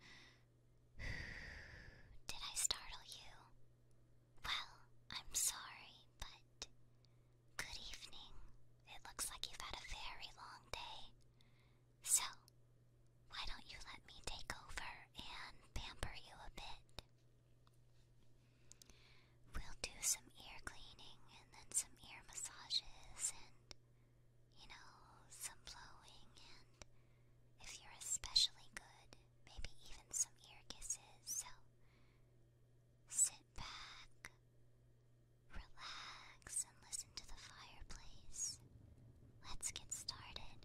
Did I startle you? Well, I'm sorry, but good evening. It looks like you've had a very long day. So, why don't you let me take over and pamper you a bit? We'll do some ear cleaning and then some ear massages and you know, some blowing, and if you're especially good, maybe even some ear kisses. So sit back, relax, and listen to the fireplace. Let's get started.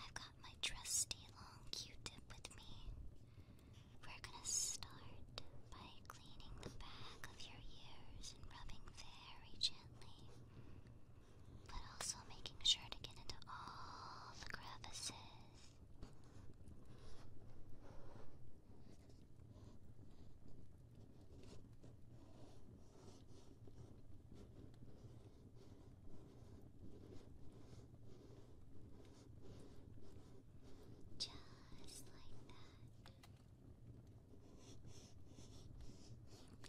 I've got my trusty long q tip with me. We're gonna start by cleaning the back of your ears and rubbing very gently but also making sure to get into all the crevices. Just like that.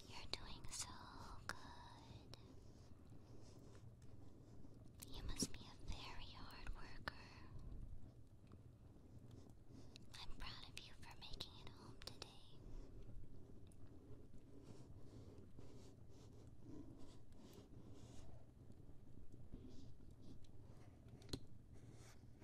You're doing so good. You must be a very hard worker. I'm proud of you for making it home today. If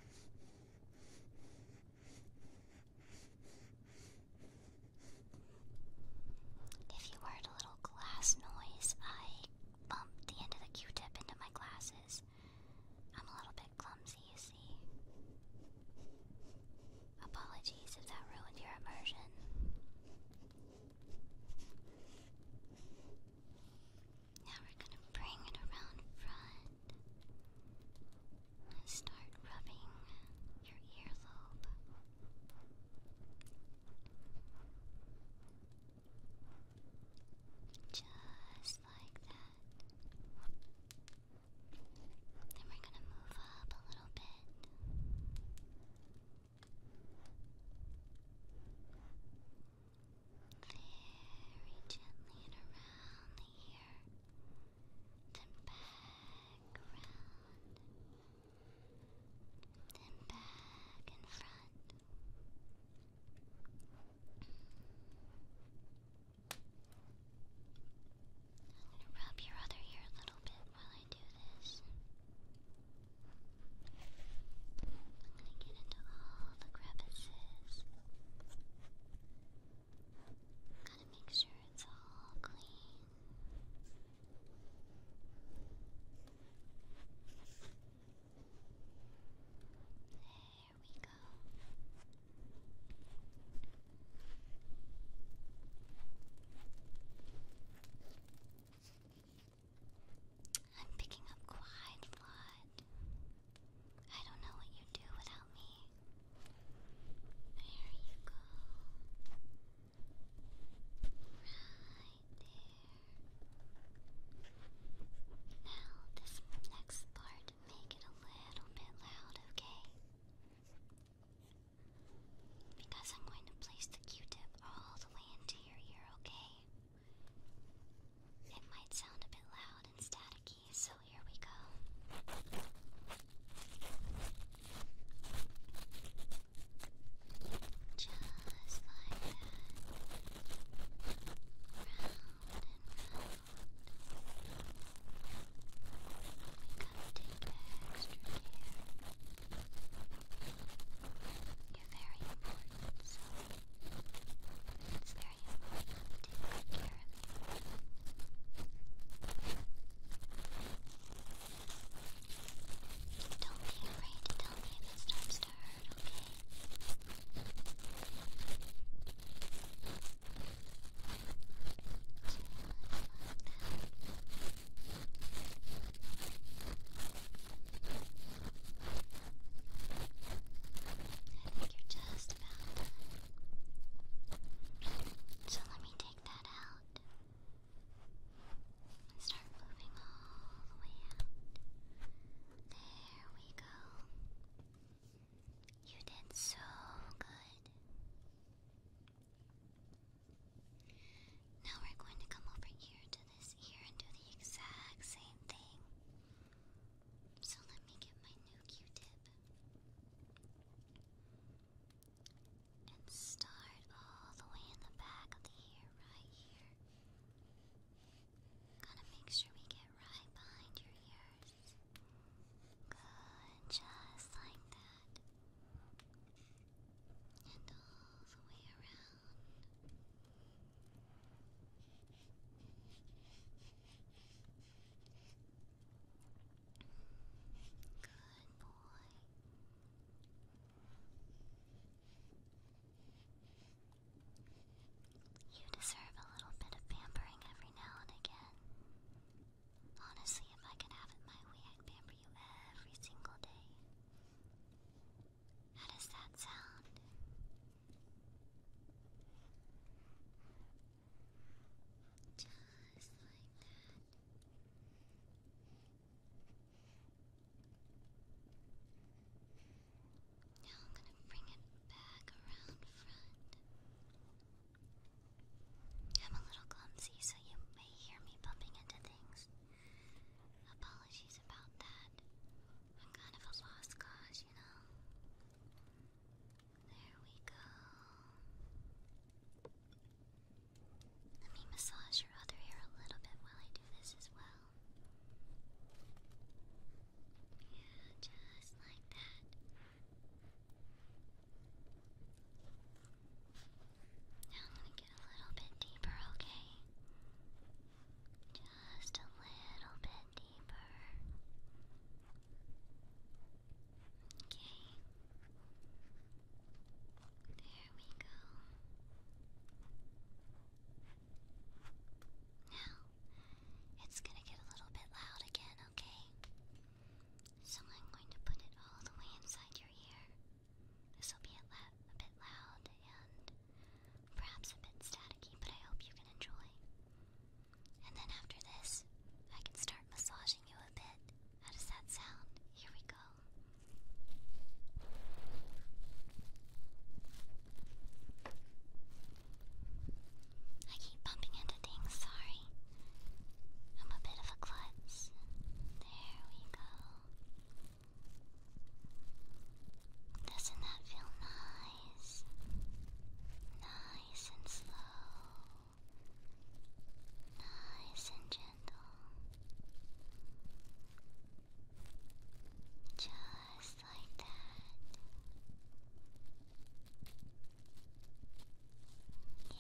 you heard a little glass noise, I bumped the end of the Q-tip into my glasses. I'm a little bit clumsy, you see. Apologies if that ruined your immersion. Now we're gonna bring it around front. Start rubbing your earlobe. Just like that. Then we're going to move up a little bit. Very gently and around here, then back around, then back in front. I'm gonna rub your other ear a little bit while I do this. I'm gonna get into all the crevices. Gotta make sure it's all clean. There we go. I'm picking up quite a lot. I don't know what you'd do without me. There you go. Right there. Now, this next part, make it a little bit loud, okay? Because I'm going to place the q tip all the way into your ear, okay? It might sound a bit loud and staticky so here we go. Just like that. Round and round. We gotta take extra care. You're very important, very Don't be afraid to tell me if it starts to hurt, okay? I think you're just about so let me take that out. And start moving all the way out. There we go. You did so good. Now we're going to come over here to this ear and do the exact same thing. So let me get my new Q tip. And start all the way in the back of the ear, right here. Gotta make sure we get right behind your ears. Good, just like that. And all the way around. Good boy. You deserve a little bit of pampering every now and again. Honestly, if I could have it my way, I'd pamper you every single day. How does that sound? Just like that. Now I'm going to bring it back around front. I'm a little clumsy, so you may hear me bumping into things. Apologies about that. I'm kind of a lost cause, you know. There we go. Let me massage your other ear a little bit while I do this as well. Yeah, just like that. Now I'm going to get a little bit deeper, okay? Just a little bit deeper. Okay. There we go. Now, it's gonna get a little bit loud again, okay? So I'm going to put it all the way inside your ear. This will be a, bit loud and perhaps a bit staticky, but I hope you can enjoy. And then after this, I can start massaging you a bit. How does that sound? Here we go. I keep bumping into things, sorry. I'm a bit of a klutz. There we go. Doesn't that feel nice? Nice and slow nice and gentle, just like that. Yeah,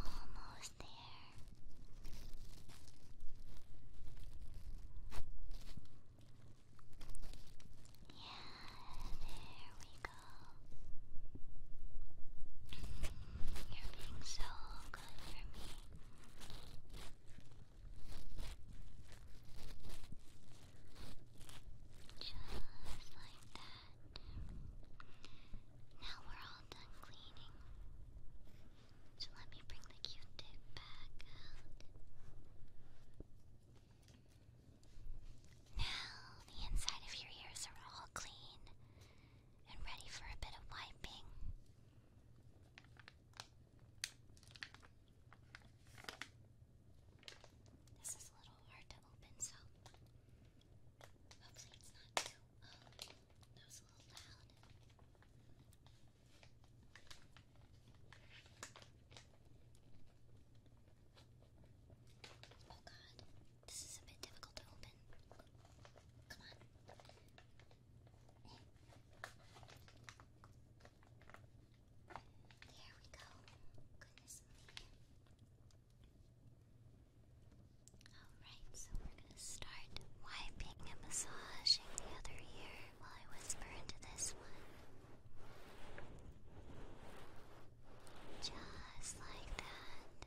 almost there there we go. You're being so good for me. Just like that. Now we're all done cleaning. So let me bring the Q-tip back out. Now the inside of your ears are all clean and ready for a bit of wiping. This is a little hard to open, so hopefully it's not too. Oh, that was a little loud. Oh god, this is a bit difficult to open. Come on. There we go. Goodness me. Alright, so we're gonna start wiping and massaging the other ear while I whisper into this one. Just like that.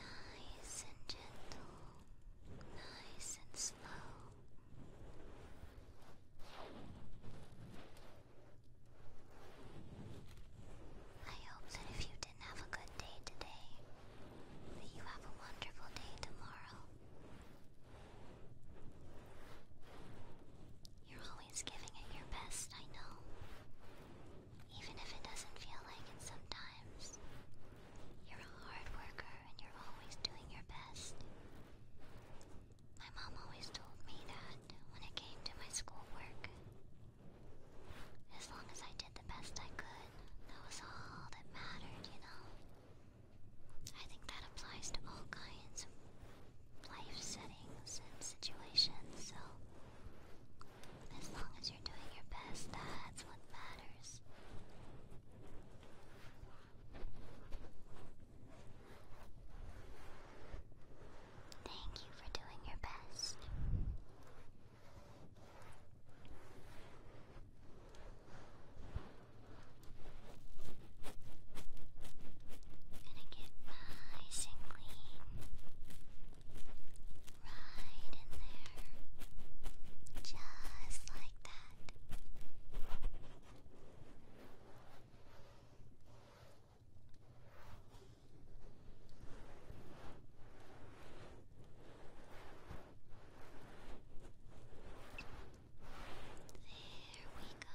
Nice and gentle. Nice and slow. I hope that if you didn't have a good day today, that you have a wonderful day tomorrow. You're always giving it your best, I know. Even if it doesn't feel like it sometimes. You're a hard worker and you're always doing your best. My mom always told me that when it came to my schoolwork. As long as I did the best I could, that was all that mattered, you know? I think that applies to all kinds of life settings and situations, so as long as you're doing your best, that's what matters. Thank you for doing your best. Gonna get nice and clean. Right in there. Just like that. There we go.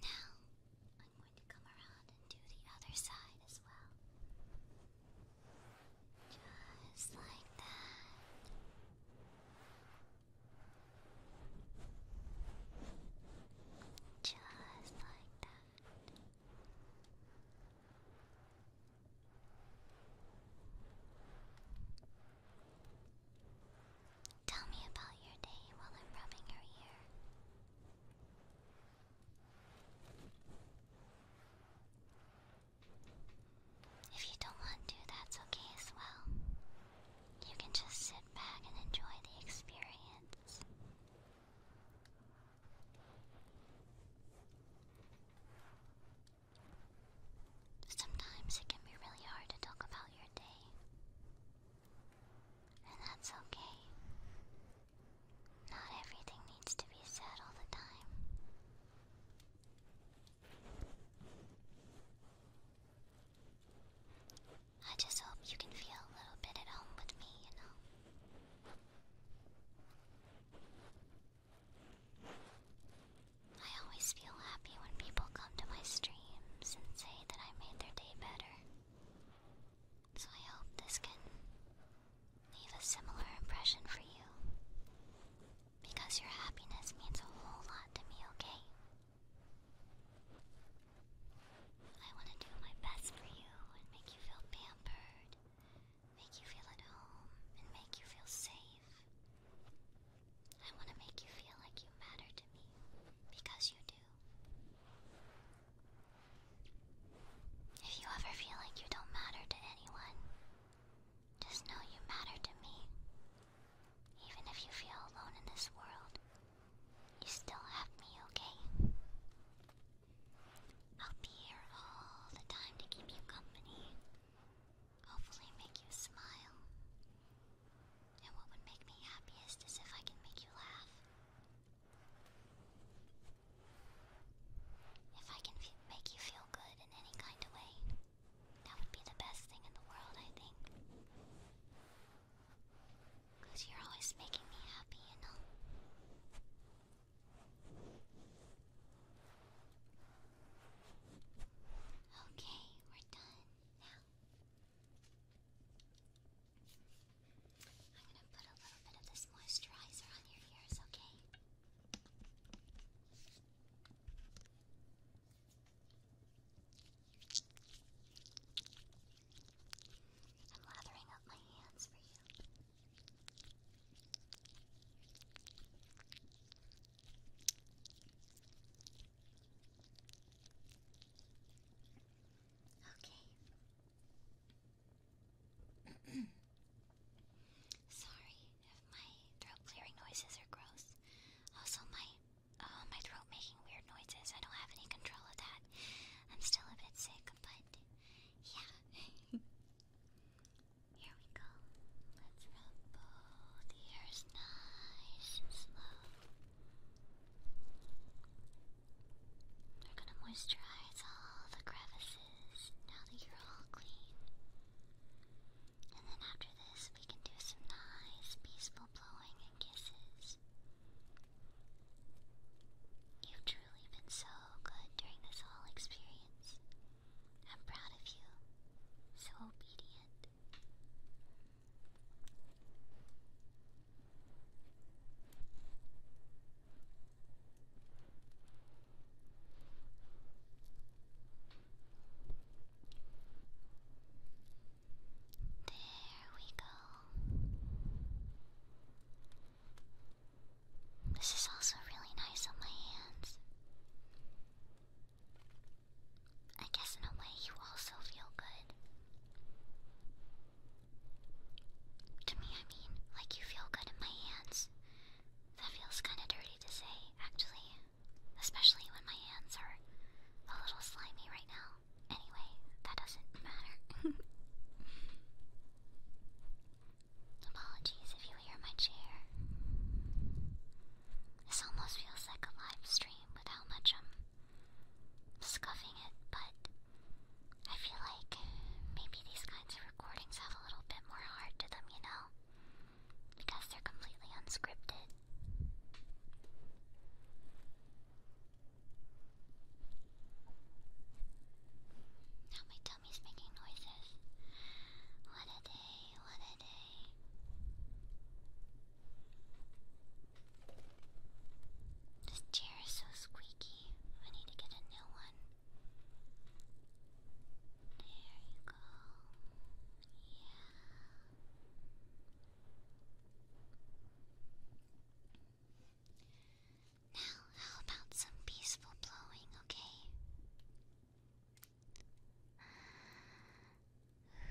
Now, I'm going to come around and do the other side as well. Just like that. Just like that. Tell me about your day while I'm rubbing your ear. If you don't want to, that's okay as well. You can just sit back and enjoy the experience. Sometimes it can be really hard to talk about your day, and that's okay. Not everything needs to be said all the time. I just hope you can feel a little bit at home with me, you know. I always feel happy when people come to my streams and say that I made their day better. So I hope this can leave a similar impression for you. Because your happiness means a whole lot to me, okay? I want to do my best for you and make you feel pampered, make you feel at home, and make you feel safe. I want to make you feel like you matter to me because you do. If you ever feel like you don't matter to anyone, just know you matter to me. Even if you feel alone in this world, you still have me, okay? I'll be here all the time to keep you company. Hopefully, make you smile. And what would make me happiest is if I can make you laugh. If I can make you feel good in any kind of way, that would be the best thing in the world, I think. Cause you're always making me happy, you know. Okay, we're done now. I'm gonna put a little bit of this moisturizer on your ears, okay? I'm lathering up my hands for you. Okay. Sorry if my throat clearing noises are gross. Also, my uh, my throat making weird noises. I don't have any control of that. I'm still a bit sick, but yeah. Here we go. Let's rub the ears nice and slow. We're gonna moisturize all the crevices now that you're all clean. And then after this, we can do some nice, peaceful blowing kisses. You've truly been so good during this whole experience. I'm proud of you. So obedient. There we go. This is also really nice on my hands. I guess in a way you also feel good. To me, I mean, like you feel good in my hands. That feels kinda dirty to say, actually. Especially when my hands are a little slimy right now anyway, that doesn't matter. Apologies if you hear my chair. This almost feels like a live stream with how much I'm scuffing it, but I feel like maybe these kinds of recordings have a little bit more heart to them, you know? Because they're completely unscripted. Now my tummy's making noises. What a day, what a day. This chair is so squeaky. I need to get a new one. There you go. Yeah. Now, how about some peaceful blowing, okay? I'm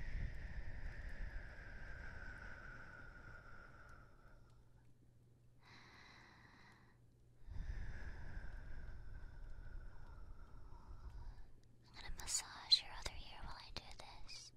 going to massage your other ear while I do this.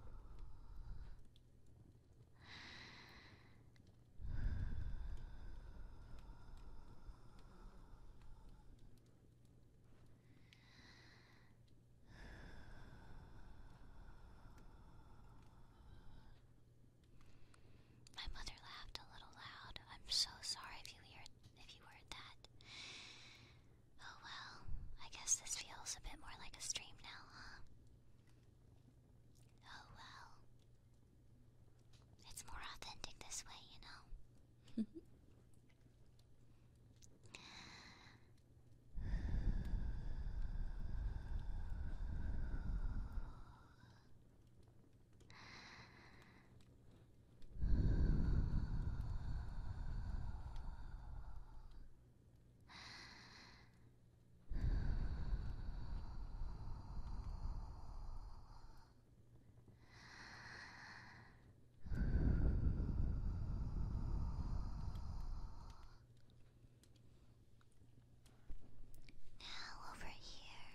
My mother laughed a little loud. I'm so sorry if you heard if you heard that. Oh well, I guess this feels a bit more like a stream now, huh? Oh well. It's more authentic this way, you know? Now over here.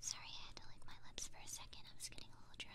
Sorry, I had to lick my lips for a second. I was getting I'll try.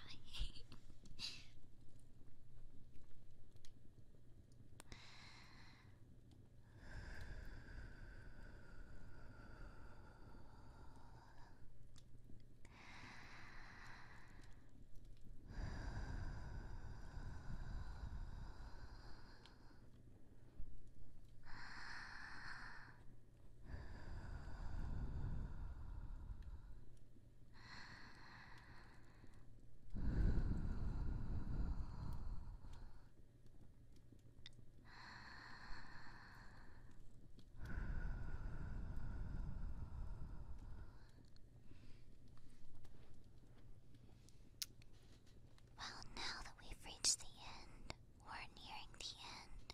Well, now that we've reached the end, we're nearing the end.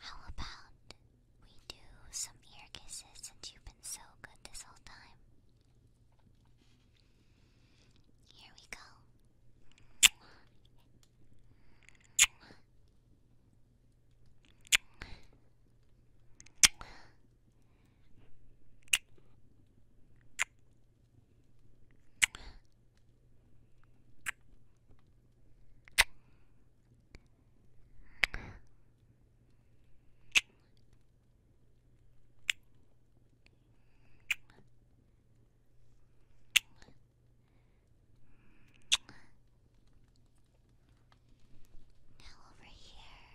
How about we do some ear kisses since you've been so good this whole time. Here we go. Now over here.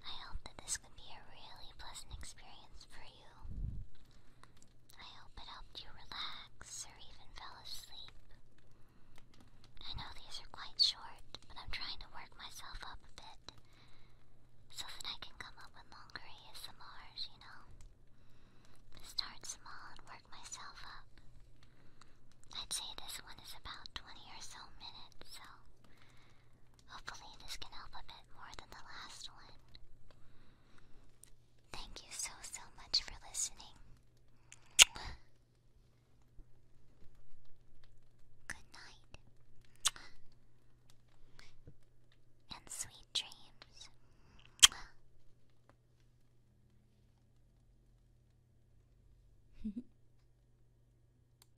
I hope that this could be a really pleasant experience for you. I hope it helped you relax or even fell asleep. I know these are quite short, but I'm trying to work myself up a bit so that I can come up with longer ASMRs, you know? Start small and work myself up. I'd say this one is about 20 or so minutes, so Hopefully, this can help a bit more than the last one. Thank you so, so much for listening. Good night. And sweet dreams.